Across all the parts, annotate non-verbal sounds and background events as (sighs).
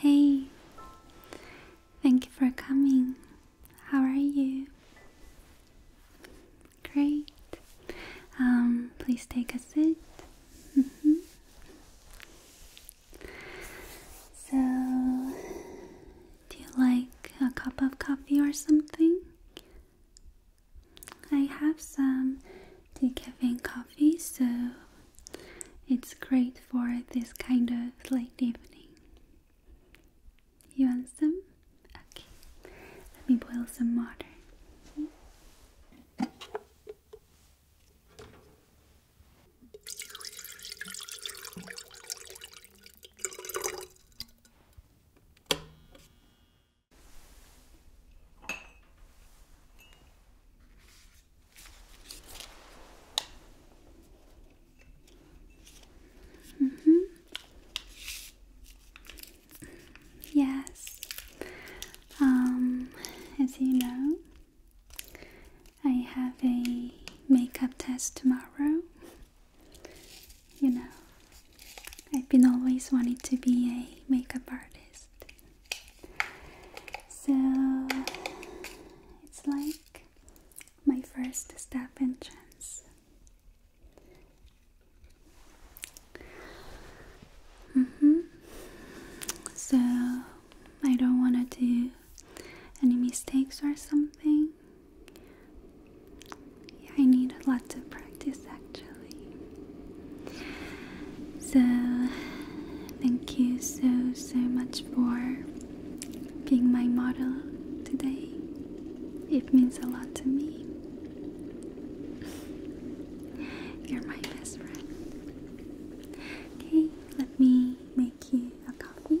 Hey, thank you for coming. How are you? Great. Um, please take a seat. Mm-hmm. So, do you like a cup of coffee or something? I have some decaffeine coffee, so it's great for this kind of late evening. You want some? Okay, let me boil some water. Mm -hmm. Yes. Um, as you know, I have a makeup test tomorrow. You know, I've been always wanting to be a makeup artist. So it's like my first step entrance. chance. mm So I don't want to do any mistakes or something. I need lots of practice actually. So, thank you so, so much for being my model today. It means a lot to me. You're my best friend. Okay, let me make you a coffee.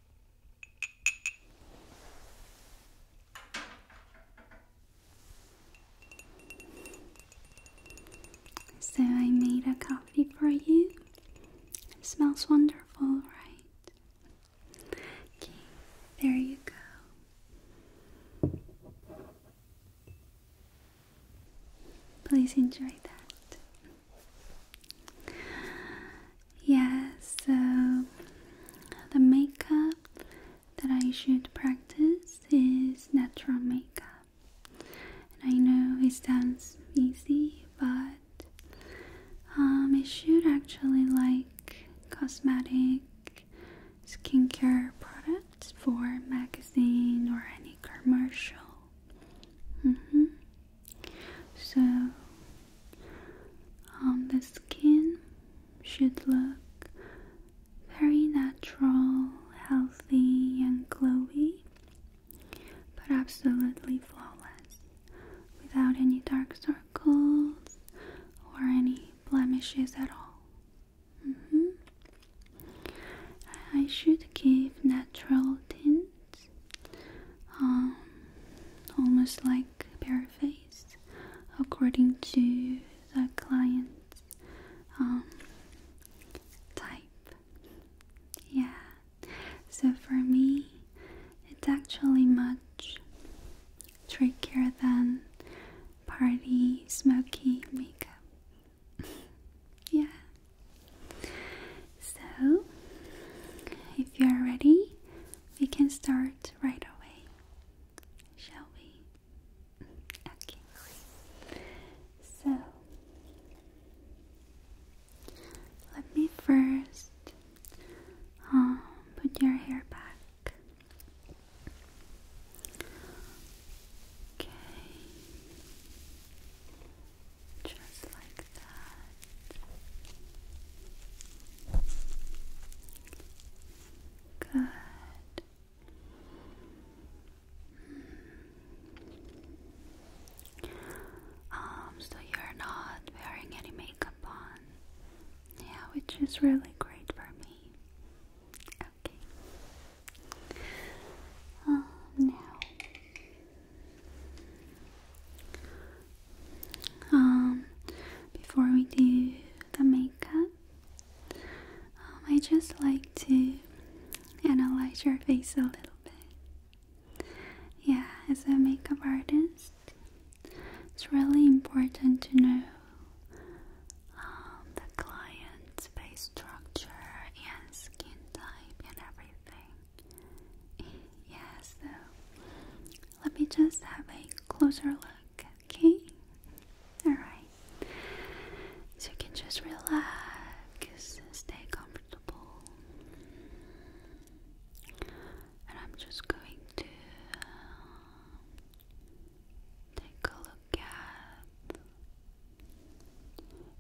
So I made a coffee for you. It smells wonderful, right? Okay, there you go. Please enjoy that. Yes. so the makeup that I should practice is natural makeup. And I know it sounds easy, but um, it should actually like cosmetic skincare products for magazine or any commercial. Mm -hmm. So the skin should look very natural, healthy, and glowy, but absolutely flawless without any dark circles or any blemishes at all. Mm-hmm. I should give natural tints, um, almost like bare face, according to the client's um, type. Yeah, so for me, it's actually much trickier than party smoky makeup. (laughs) yeah. So, if you're ready, we can start right away, shall we? Okay. So, let me first um, put your hair back. Okay. Just like that. Good. Um, so you're not wearing any makeup on. Yeah, which is really great for me. Okay. Um, now um, before we do the makeup, um, I just like to analyze your face a little bit. Yeah, as a makeup artist, it's really important to know um, the client's face structure and skin type and everything. Yeah, so let me just have a closer look, okay? Alright. So you can just relax, and stay comfortable. And I'm just going to uh, take a look at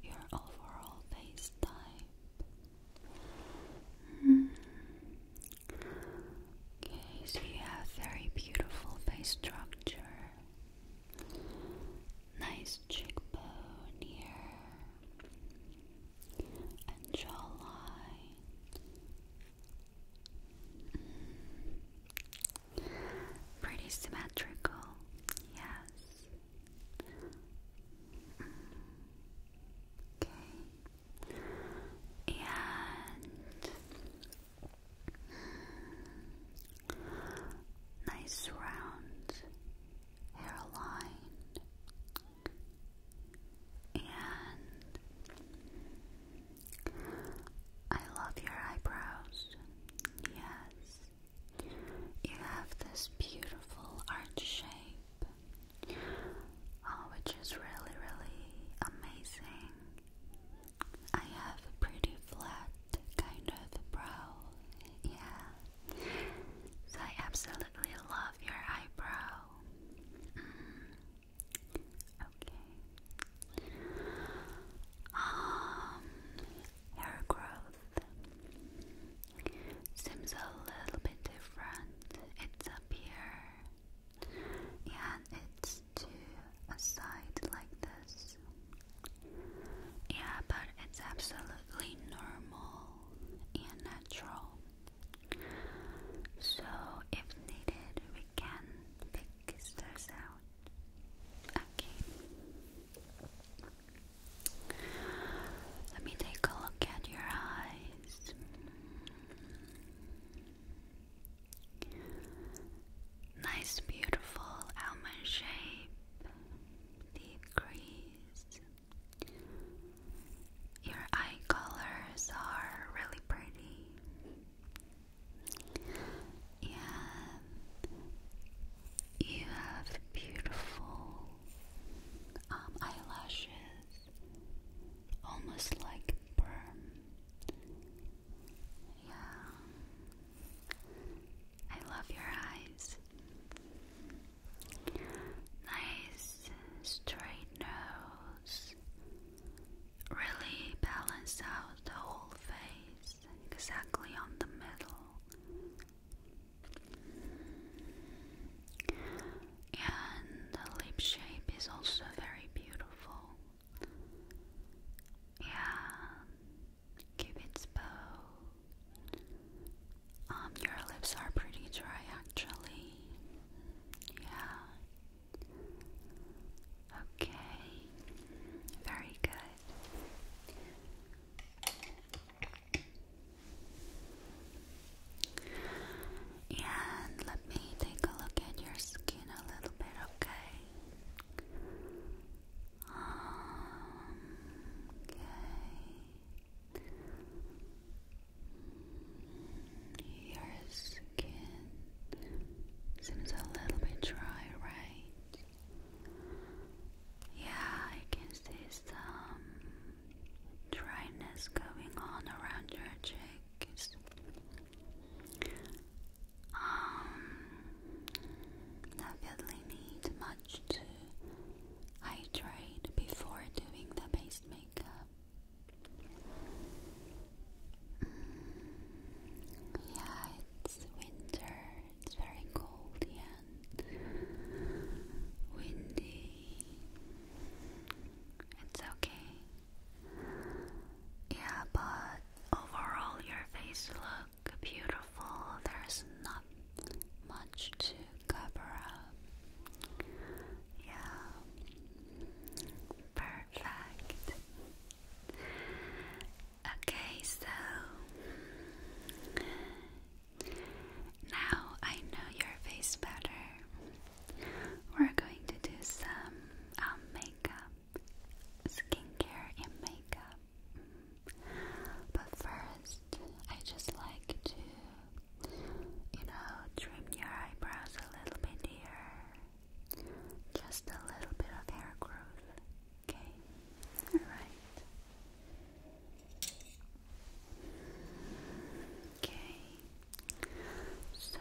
your overall face type. Hmm. Okay, so you have very beautiful face structure. Nice cheekbone here. And jawline. Mm. Pretty symmetrical, yes. Mm. Okay and mm, nice round hairline and I love your eyebrows. Yes. You have this beautiful arch shape Oh, which is really, really amazing. I have a pretty flat kind of brow, yeah. I absolutely love your eyebrow. Mm. Okay. Um, hair growth seems a little bit different. It's up here and it's to a side like this. Yeah, but it's absolutely normal and natural. So, if needed, we can pick this out. Okay. Let me take a look at your eyes. Nice, beautiful almond shape. Deep crease. Your eye colors are really pretty. Yeah, you have beautiful um, eyelashes almost like perm. Yeah, I love your eyes. Nice straight nose. Really balance out the whole face exactly on the middle and the lip shape is also very beautiful. Yeah, Cupid's bow. Um, your lips are pretty dry actually. Yeah. Okay. Very good. And let me take a look at your skin a little bit, okay? Um, okay. Your skin seems a little bit dry, right? Yeah, I can see some dryness going on around your cheeks. Um, definitely need much to hydrate before doing the base makeup. Mm, yeah, it's winter. It's very cold and windy. It's okay. Yeah, but overall, your face look beautiful. There's not much to cover up. Yeah, perfect. Okay, so now I know your face better. We're going to do some um, makeup, skincare, and makeup. But first, I just like to, you know, trim your eyebrows a little bit here. Just a little bit of hair growth. Okay? Alright. Okay, so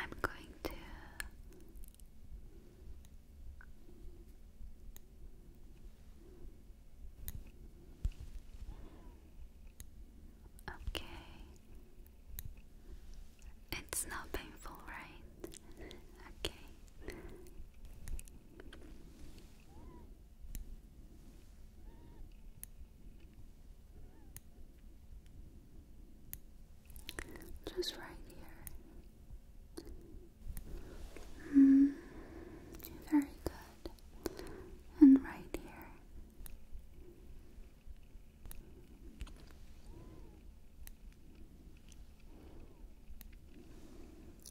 I'm going to Okay. It's not painful, right? Okay. Just right here. Mm, very good. And right here.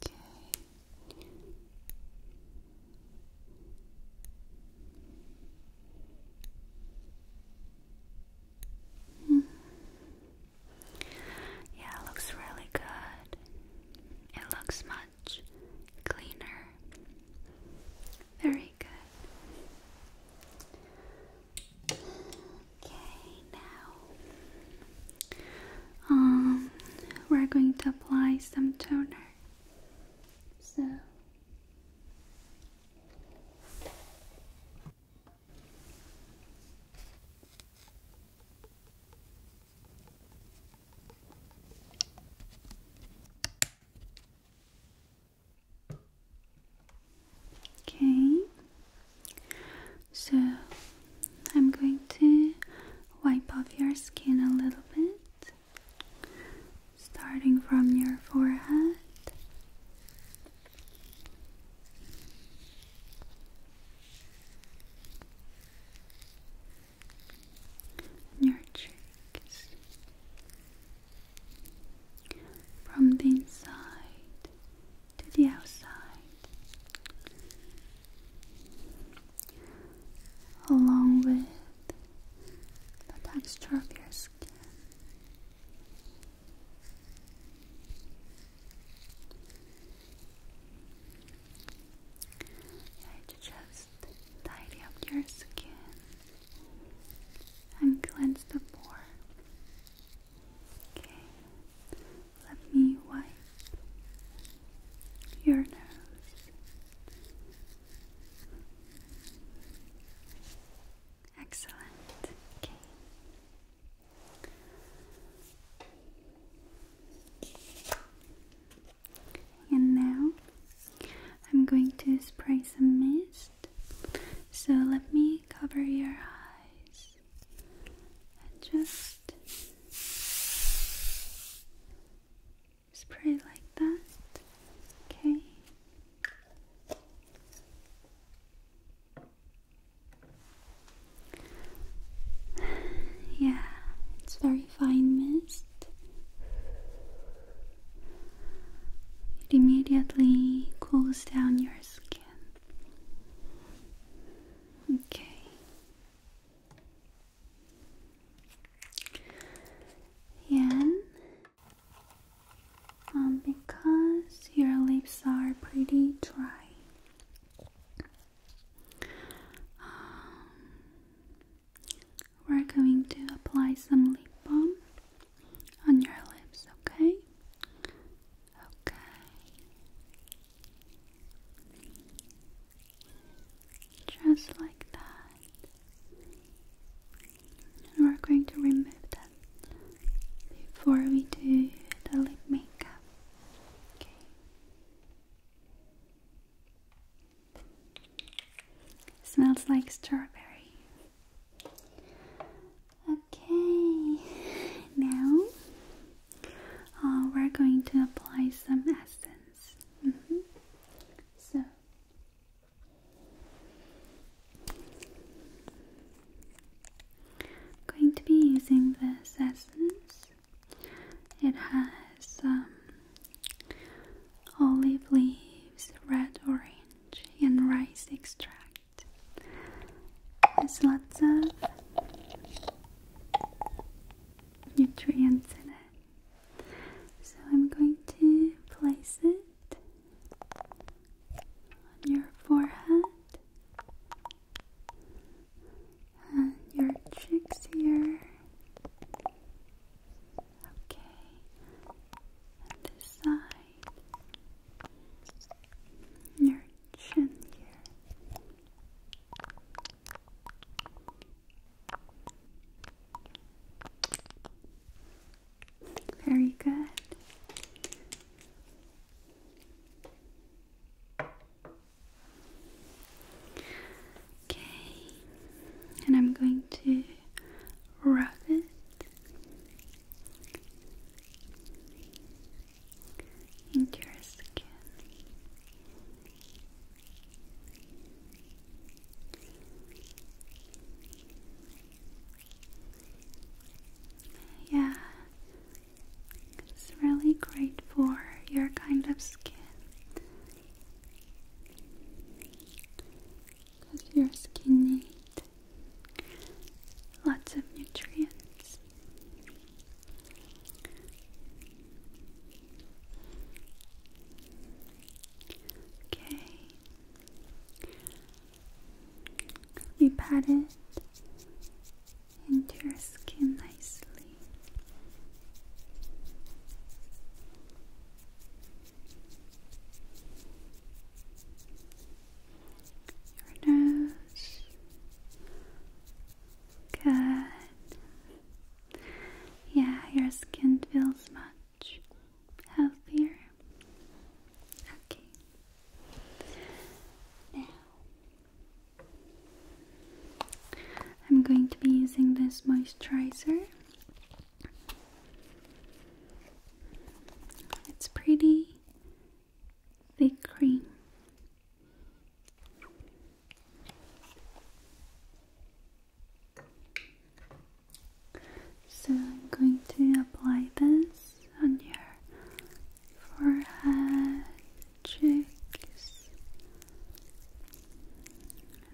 Okay. Hmm. Yeah, looks really good. It looks much cleaner. Very good. Okay, now um, we're going to apply some toner. So Okay, so I'm going to wipe off your skin a little bit, starting from your forehead. your cheeks from the inside to the outside along with the texture of your skin. Yeah, just tidy up your skin and cleanse the pore. Okay, let me wipe your nose. Excellent. Okay. And now I'm going to spray some mist. So let me cover your eyes and just spray like that. Okay. (sighs) Yeah, it's very fine mist. It immediately cools down your skin. Okay. Yeah. um, because your lips are pretty dry, um, we're going to apply some lip balm on your lips, okay? Okay. Just like that. And we're going to remove that before we do the lip makeup. Okay. smells like strawberry. Okay, (laughs) now uh, we're going to apply some essence yes. Mm So I'm going to be using this essence. It has um, olive leaves, red, orange, and rice extract. There's lots of nutrients in it. So I'm going to place it on your forehead and your cheeks here. Okay, and this side, your chin here. Very good. Okay, and I'm going to rub it. Into your skin, yeah, it's really great for your kind of skin. Because your skin needs lots of nutrients. Okay. Let me pat it into your skin nicely. Your nose, Good. Yeah, your skin feels much healthier. Okay. Now, I'm going to be using this moisturizer. It's pretty thick cream. So I'm going to apply this on your forehead, cheeks,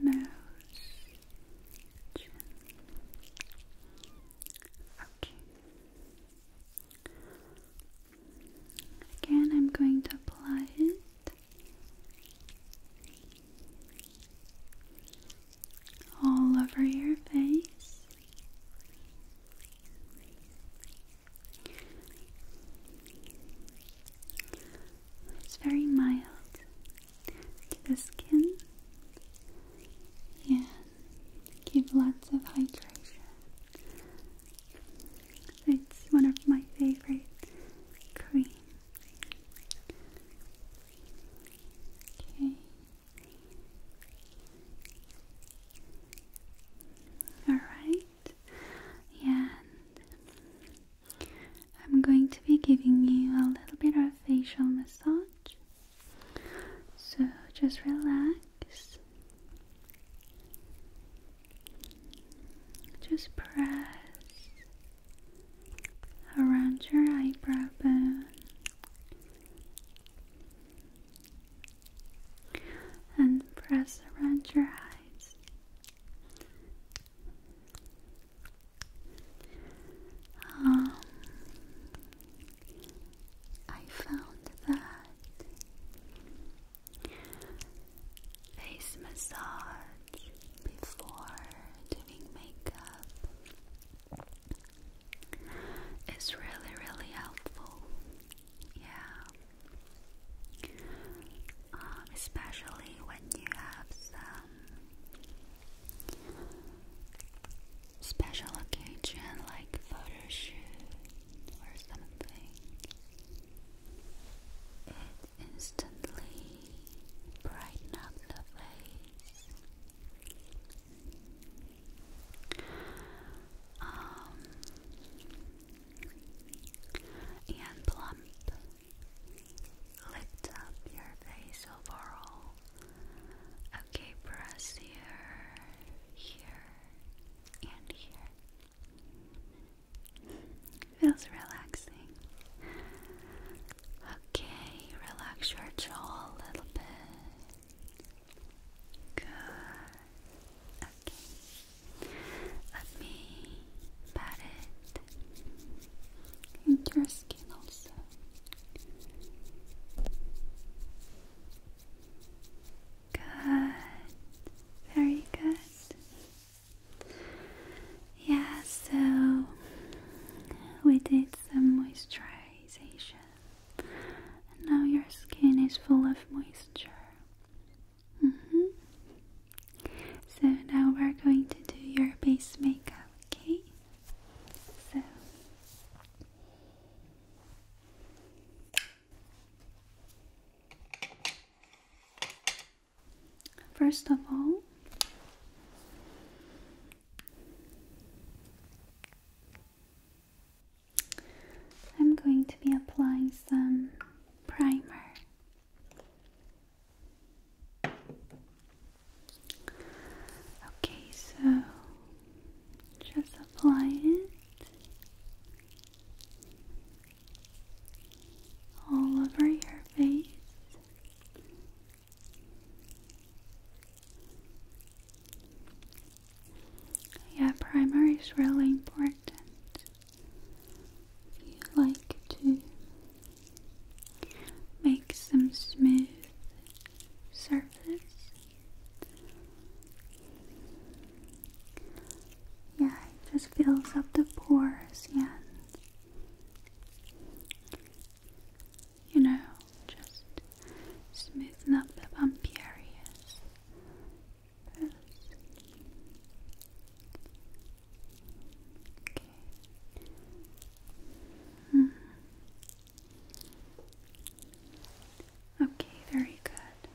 nose, chin. Okay. Again, I'm going to apply it. All over your face. It's very mild to the skin and give lots of hydration. It's one of my favorite creams. Okay. Alright. And I'm going to be giving you a little bit of facial massage. So just relax just press around your eyebrow bone and press around your eyes. Um, I found that face massage before doing makeup is really, really helpful. Yeah. Um, especially when you have some special occasion like photo shoot or something. It instantly brightens the face. Um, and plump lift up your face overall. Okay, press here, here, and here. Feels relaxing. Okay, relax your jaw a little bit. Good. Okay. Let me pat it. And your skin also. Good. Very good. Yeah, so we did some moisturization. And now your skin is full of moisture. -hmm. So now we're going to do your base makeup, okay? So First of all, I'm going to be applying some primer. Okay, so just apply it all over your face. Yeah, primer is really important. If you like to make some smooth surface, yeah, it just fills up the pores Yeah, you know, just smoothing up the bumpy areas. Okay. Hmm. Okay, very good.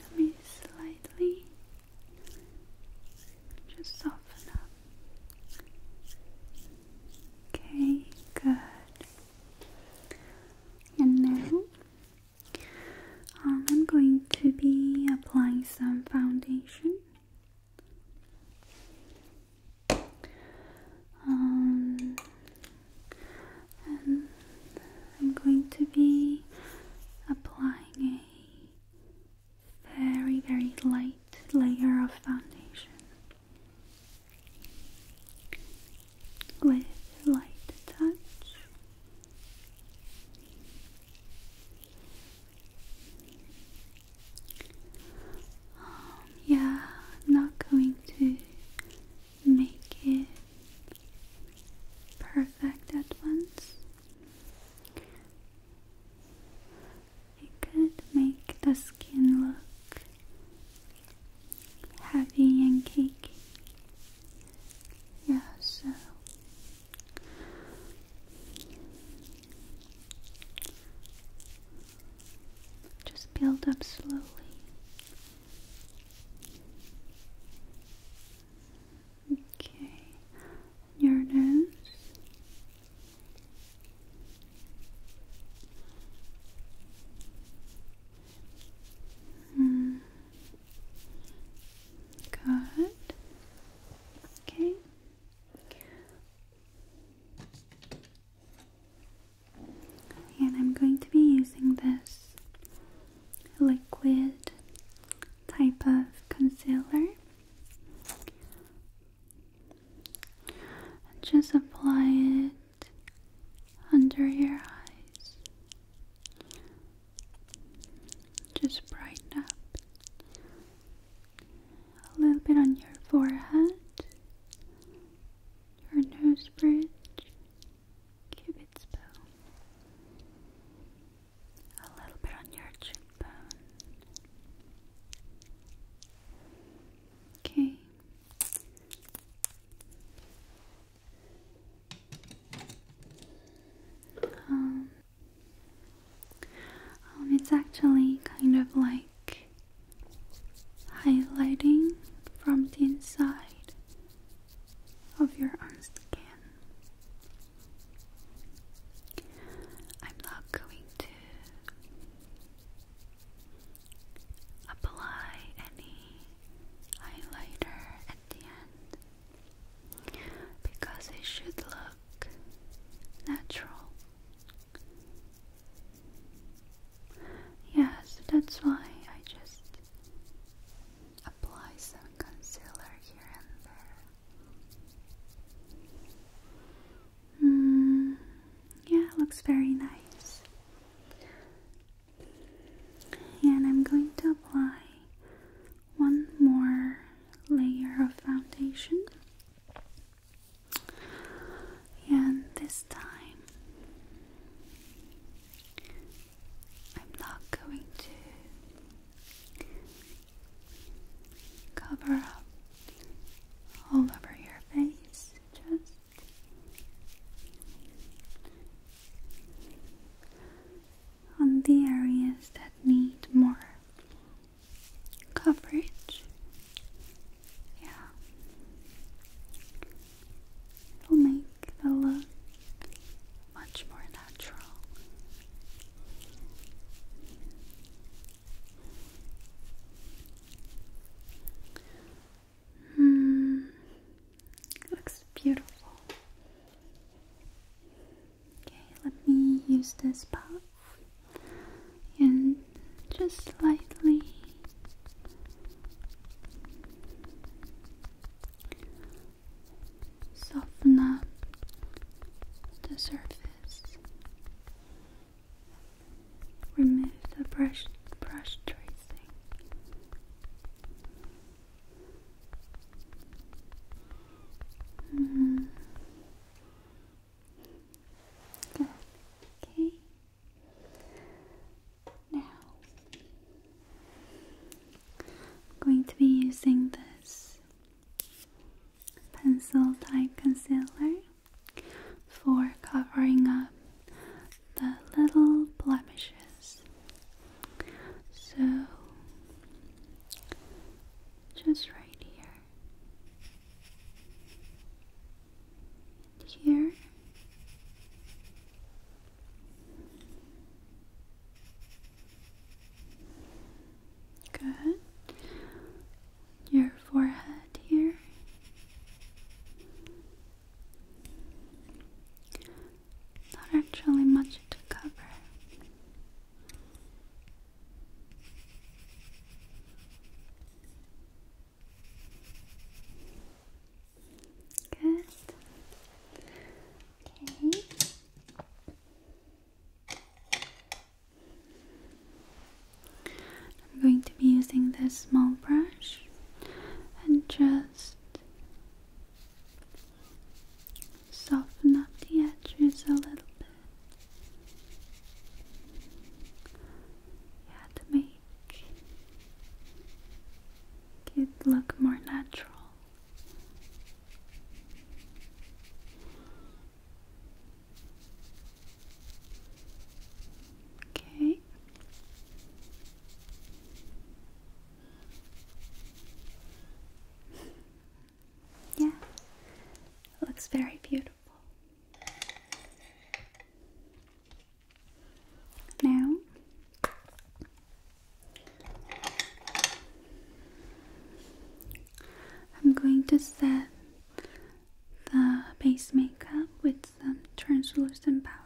Let me slightly just soften up. Okay, good. And now um, I'm going to be applying some foundation. Um, I'm going to be applying a very, very light layer of foundation with light touch. Um, yeah, I'm not going to make it perfect at once. It could make the skin look heavy and cakey. Yeah, so just build up slowly. Okay, your nose. Mm. Good. Okay. And I'm going to be using this liquid type of concealer. And just apply it under your eyes. Just brighten up a little bit on your forehead, your nose bridge, Cupid's bow. A little bit on your cheekbone. Okay. Um, um, it's actually kind of like highlighting from the inside of your own skin. I'm not going to apply any highlighter at the end because it should look natural. Yes, that's why I just Apply some concealer here and there. Mm, yeah, looks very nice. And I'm going to apply one more layer of foundation. And this time, I'm not going to cover up all over your face, just on the areas that need more coverage. Yeah. It'll make the look much more natural. Hmm, looks beautiful. Okay, let me use this puff and just lightly Soften up the surface. Remove the brush brush tracing. Mm-hmm. Okay. Now, I'm going to be using this pencil type concealer for covering up the little blemishes. So, just right here here. Good. Your forehead here. Not actually much to cover. Good. Okay. I'm going to be using this small brush and just soften up the edges a little bit. Yeah, to make it look more natural. Okay. (laughs) Yeah. looks very beautiful. Now, I'm going to set the base makeup with some translucent powder.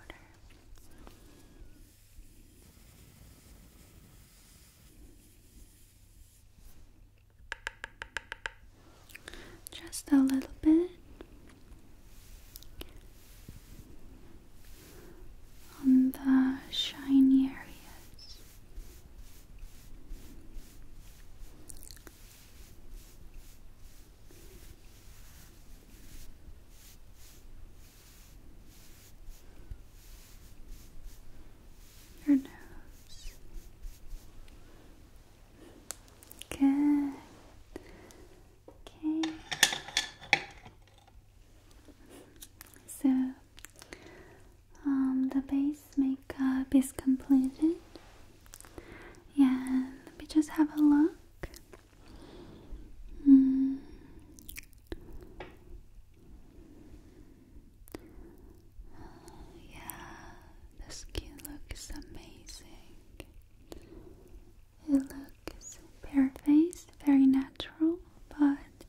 Just a little bit on the shiny areas. Your nose. Good. Okay. So um, the base makeup is completed, Yeah, let me just have a look. Mm. Yeah, the skin looks amazing. It looks bare-faced, very natural, but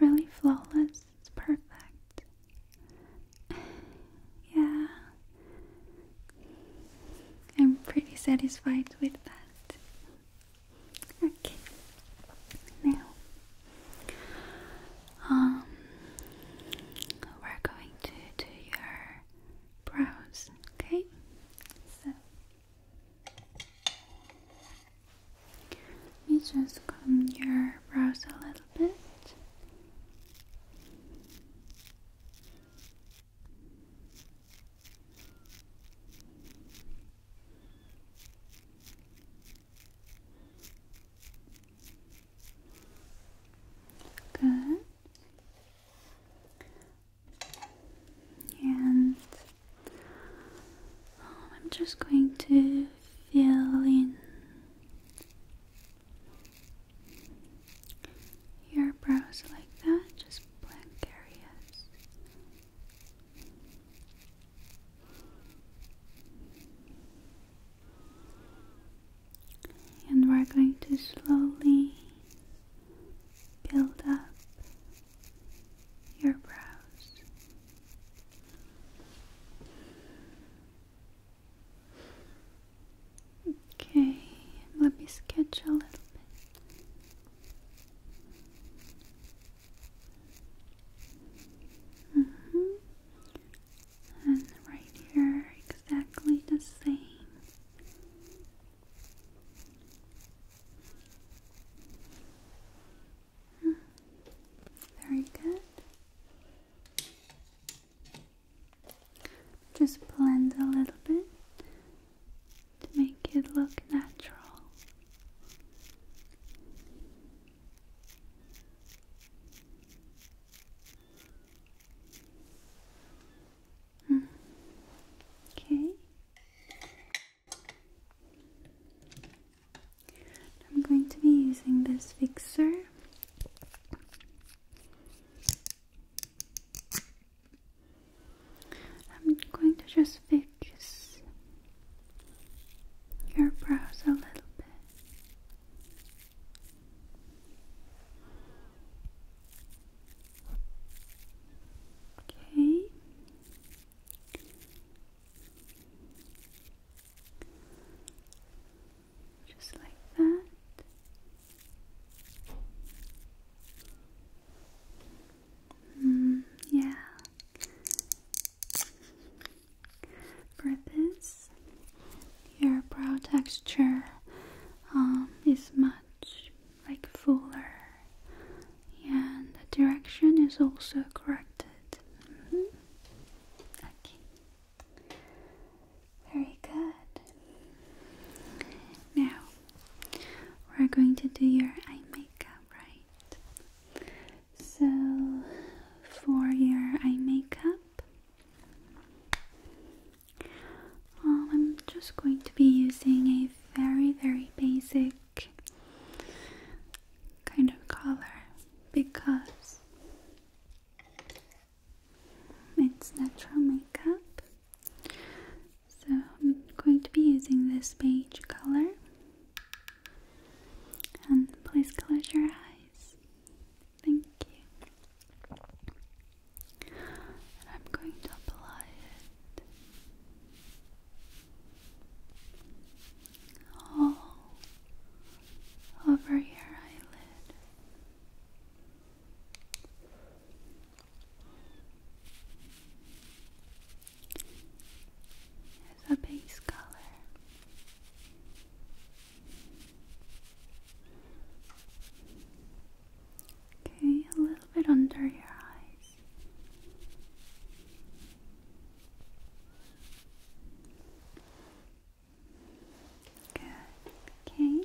really flawless. It's perfect. yeah. I'm pretty satisfied with that. Okay. Now, um, we're going to do your your brows. Okay? So let me just comb your brows a little bit. Good. And um, I'm just going to fill in your brows like that, just blank areas and we're going to slowly build up your brows. Okay, let me sketch a little bit. Mm-hmm. And right here, exactly the same. Very good. Just blend a little bit to make it look natural. Okay. I'm going to be using this fixer. I'm going to just fix your brows a little bit. Okay. Just like that. Mm, yeah. For this, your brow texture um, is much like fuller and the direction is also corrected mm-hmm. okay very good now we're going to do your eye makeup right so for your eye makeup I'm just going to be using a very, very basic kind of color because it's natural makeup. So I'm going to be using this beige color. And please close your eyes. Thank you. I'm going to apply it all over your eyelid. As a base color, Okay, a little bit under your eyes. Good. Okay.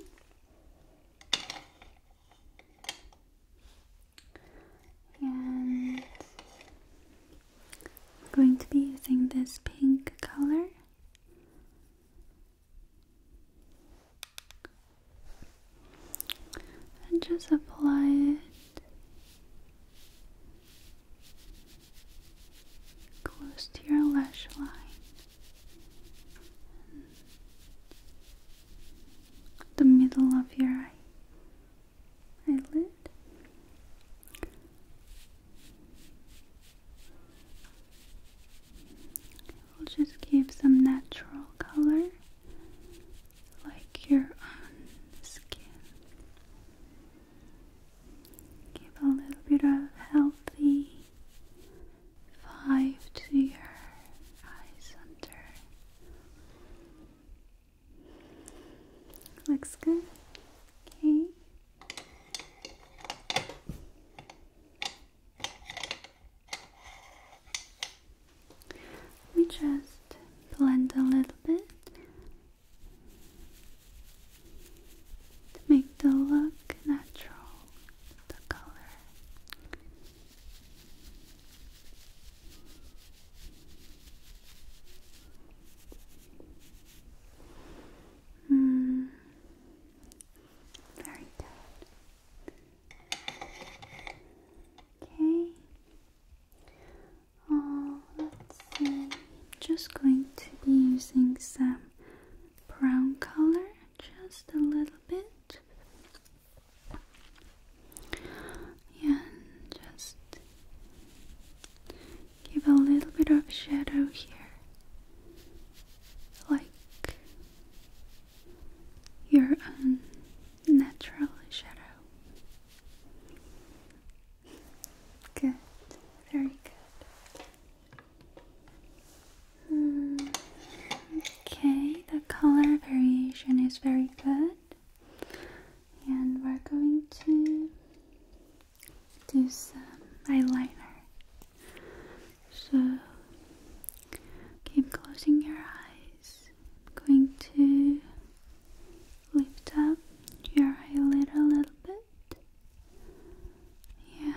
And I'm going to be using this pink color and just apply it close to your lash line the middle of your eye eyelid We'll just give some natural color like your own skin. Give a little bit of healthy five to your eye center. Looks good. Okay. We just blend a little bit to make the look natural, the color. Mm, very good. Okay. Oh, let's see. I'm just going to be using some brown color, just a little bit. Yeah, just give a little bit of shadow here like your own natural shadow. Good, very good. okay, the color variation is very good, and we're going to do some eyeliner. So keep closing your eyes. I'm going to lift up your eyelid a little bit and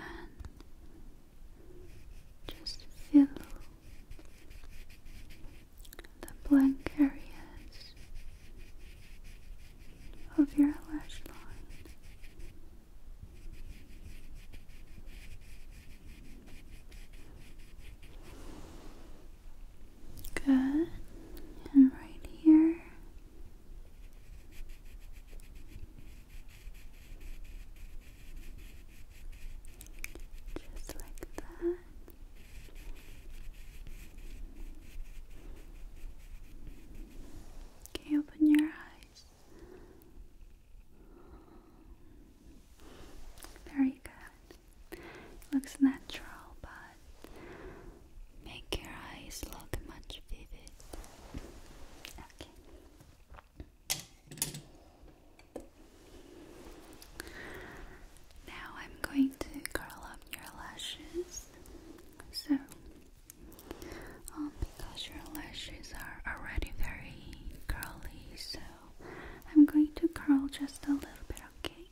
just fill the blank areas of your lash line Good. And right here. Just like that. Okay, open your eyes. Very good. Looks natural, but make your eyes look much vivid. Okay. Now I'm going to curl up your lashes. So because oh your lashes are already very curly, so I'm going to curl just a little bit, okay?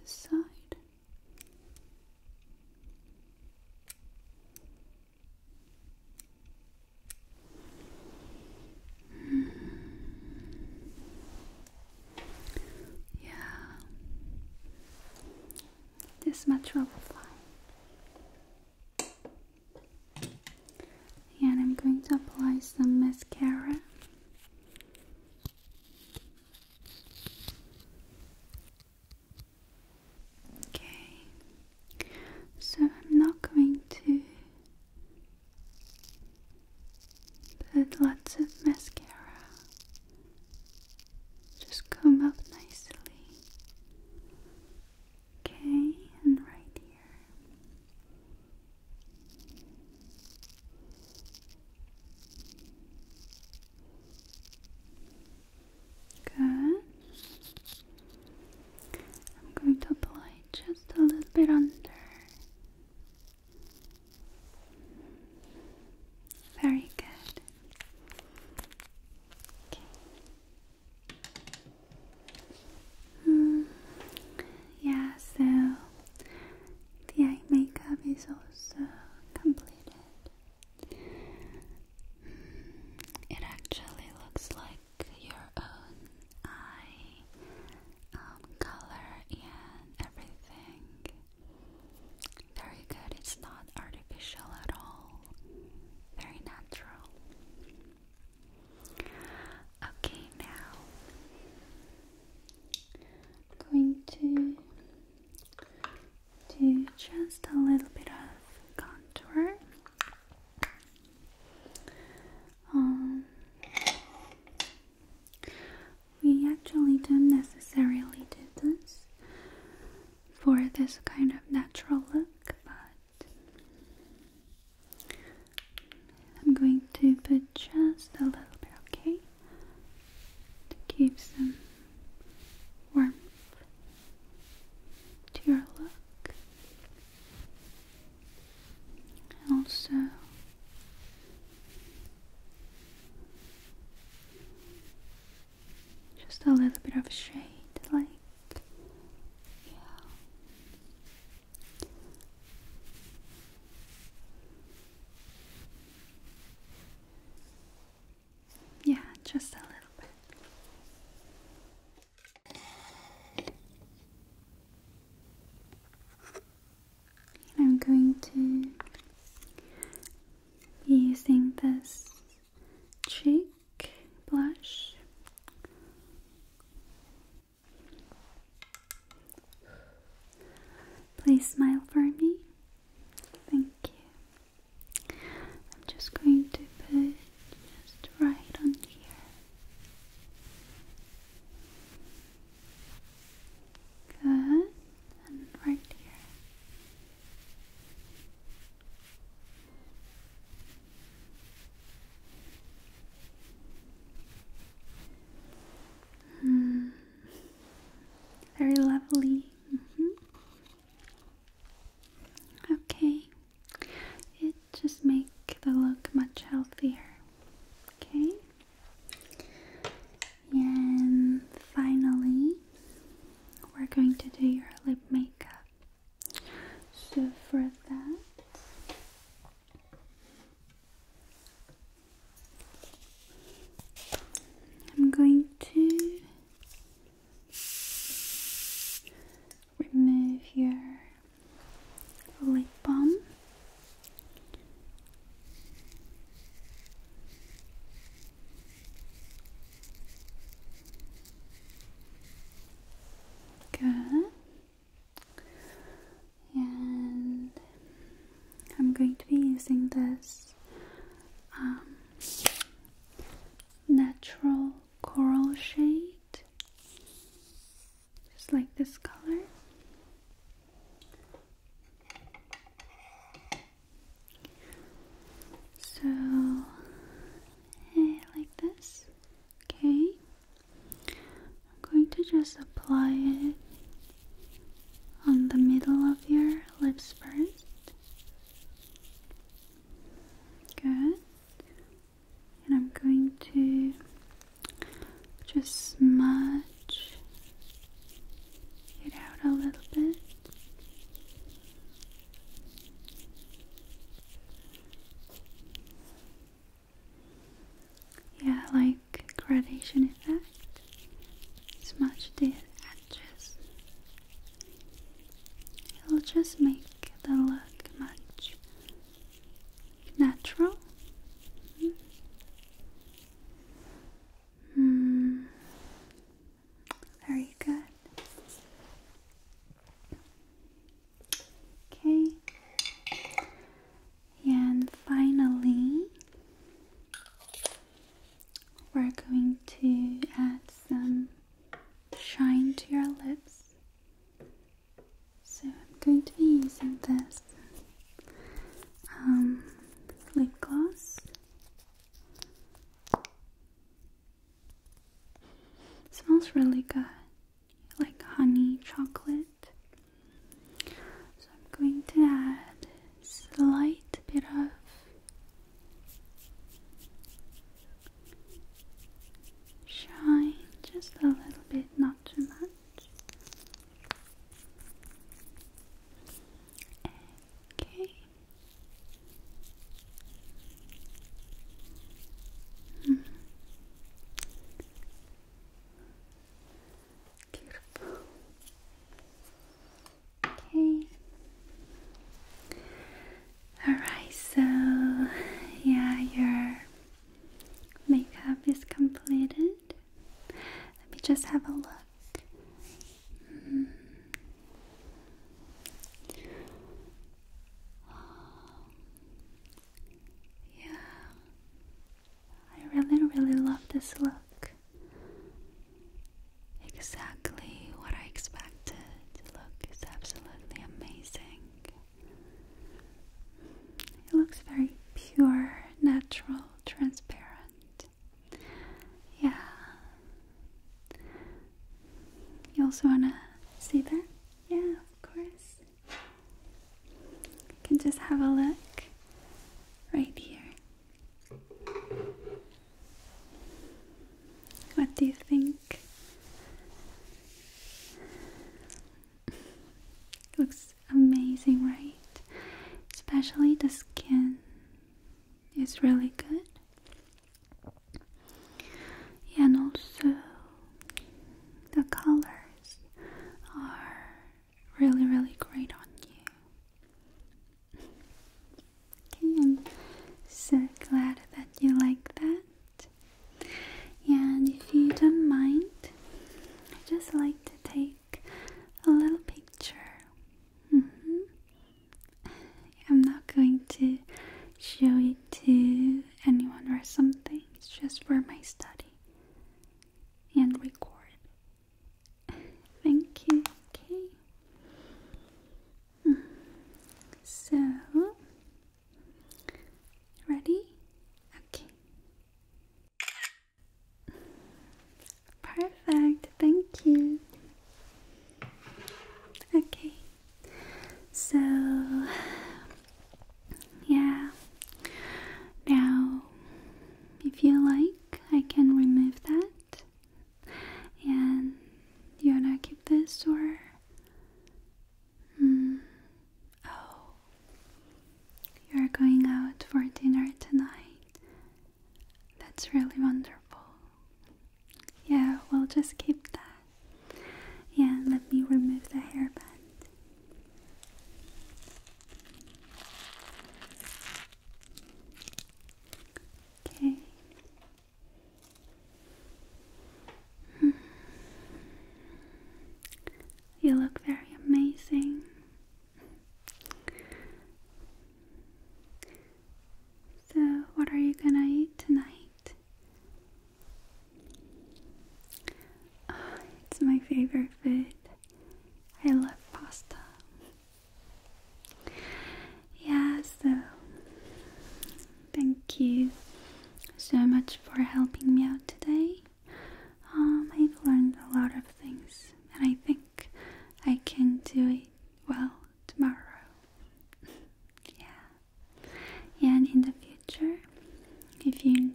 This side. Yeah, this much will fly. And I'm going to apply some mascara. Okay, so I'm not going to put lots of mascara, just come up nicely. Okay, and right here. Good. I'm going to apply just a little bit under. Very good. Okay. Hmm. Yeah, so the eye makeup is also completed. Hmm. It actually looks like your own eye um, color and everything. Very good, it's not artificial at all, very natural. Okay, now I'm going to do just a little bit of contour. Um, we actually don't necessarily do this for this kind of natural look, but I'm going to put just a little bit, okay? To give some warmth to your look and also just a little bit of shade, like yeah. Yeah, just a little bit. I'm going to be using this cheek blush. Please smile for me. Thank you. I'm just going to put just right on here. Good. And right here. Mm. Very lovely. Mm -hmm. Okay. It just makes the look much healthier. Okay. And finally, we're going to do your lip makeup. So for that, I'm going to remove your lip balm. Good. And I'm going to be using this um, natural coral shade, just like this color. So, eh, like this. Okay, I'm going to just apply it on the middle of your lips first. Good and I'm going to just smudge it out a little bit. Yeah, like gradation effect. Smudge the edges It'll just make the look much natural. Mm. Very good. Okay. And finally, we're going to add some shine to your lips. So I'm going to be using this um, lip gloss. smells really good, like honey chocolate. So I'm going to add a slight bit of Shine just a little bit, not too much. Okay. -hmm. Beautiful. Okay. Alright, so yeah, your makeup is completed. Let me just have a look. Hmm. Yeah, I really, really love this look. Exactly what I expected matted look is absolutely amazing. It looks very pure, natural, transparent. Yeah. You also want to see that? Yeah, of course. You can just have a look right here. What do you think? Looks amazing, right? Especially the skin is really good. and also the colors are really, really great on you. Okay, I'm so glad that you like that. And if you don't mind, I just like to take a little picture. Mm-hmm. I'm not going to show it to anyone or something, it's just for my study and record. Thank you. Okay. So, ready? Okay. Perfect, thank you. Okay, so yeah, now if you like, I can remove that. And you wanna keep this or? Hmm. Oh, you're going out for dinner tonight. That's really wonderful. Yeah, we'll just keep that. Yeah, let me remove the hairband. Okay. You look very amazing. So, what are you gonna eat tonight? Ah, it's my favorite food. I love pasta. Yeah, so thank you so much for helping me out today. Um, I've learned a lot of things, and I think I can do it well tomorrow. (laughs) yeah. And in the future, if you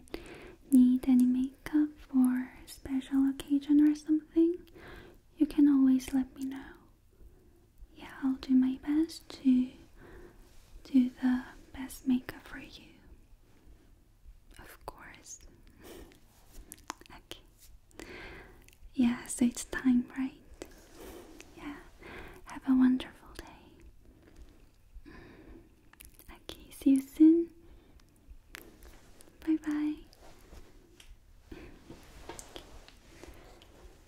need any makeup for special occasion or something, you can always let me know yeah, I'll do my best to do the best makeup for you. Of course. (laughs) okay. Yeah, so it's time, right? Yeah. Have a wonderful day. Mm-hmm. Okay, see you soon. Bye bye. (laughs)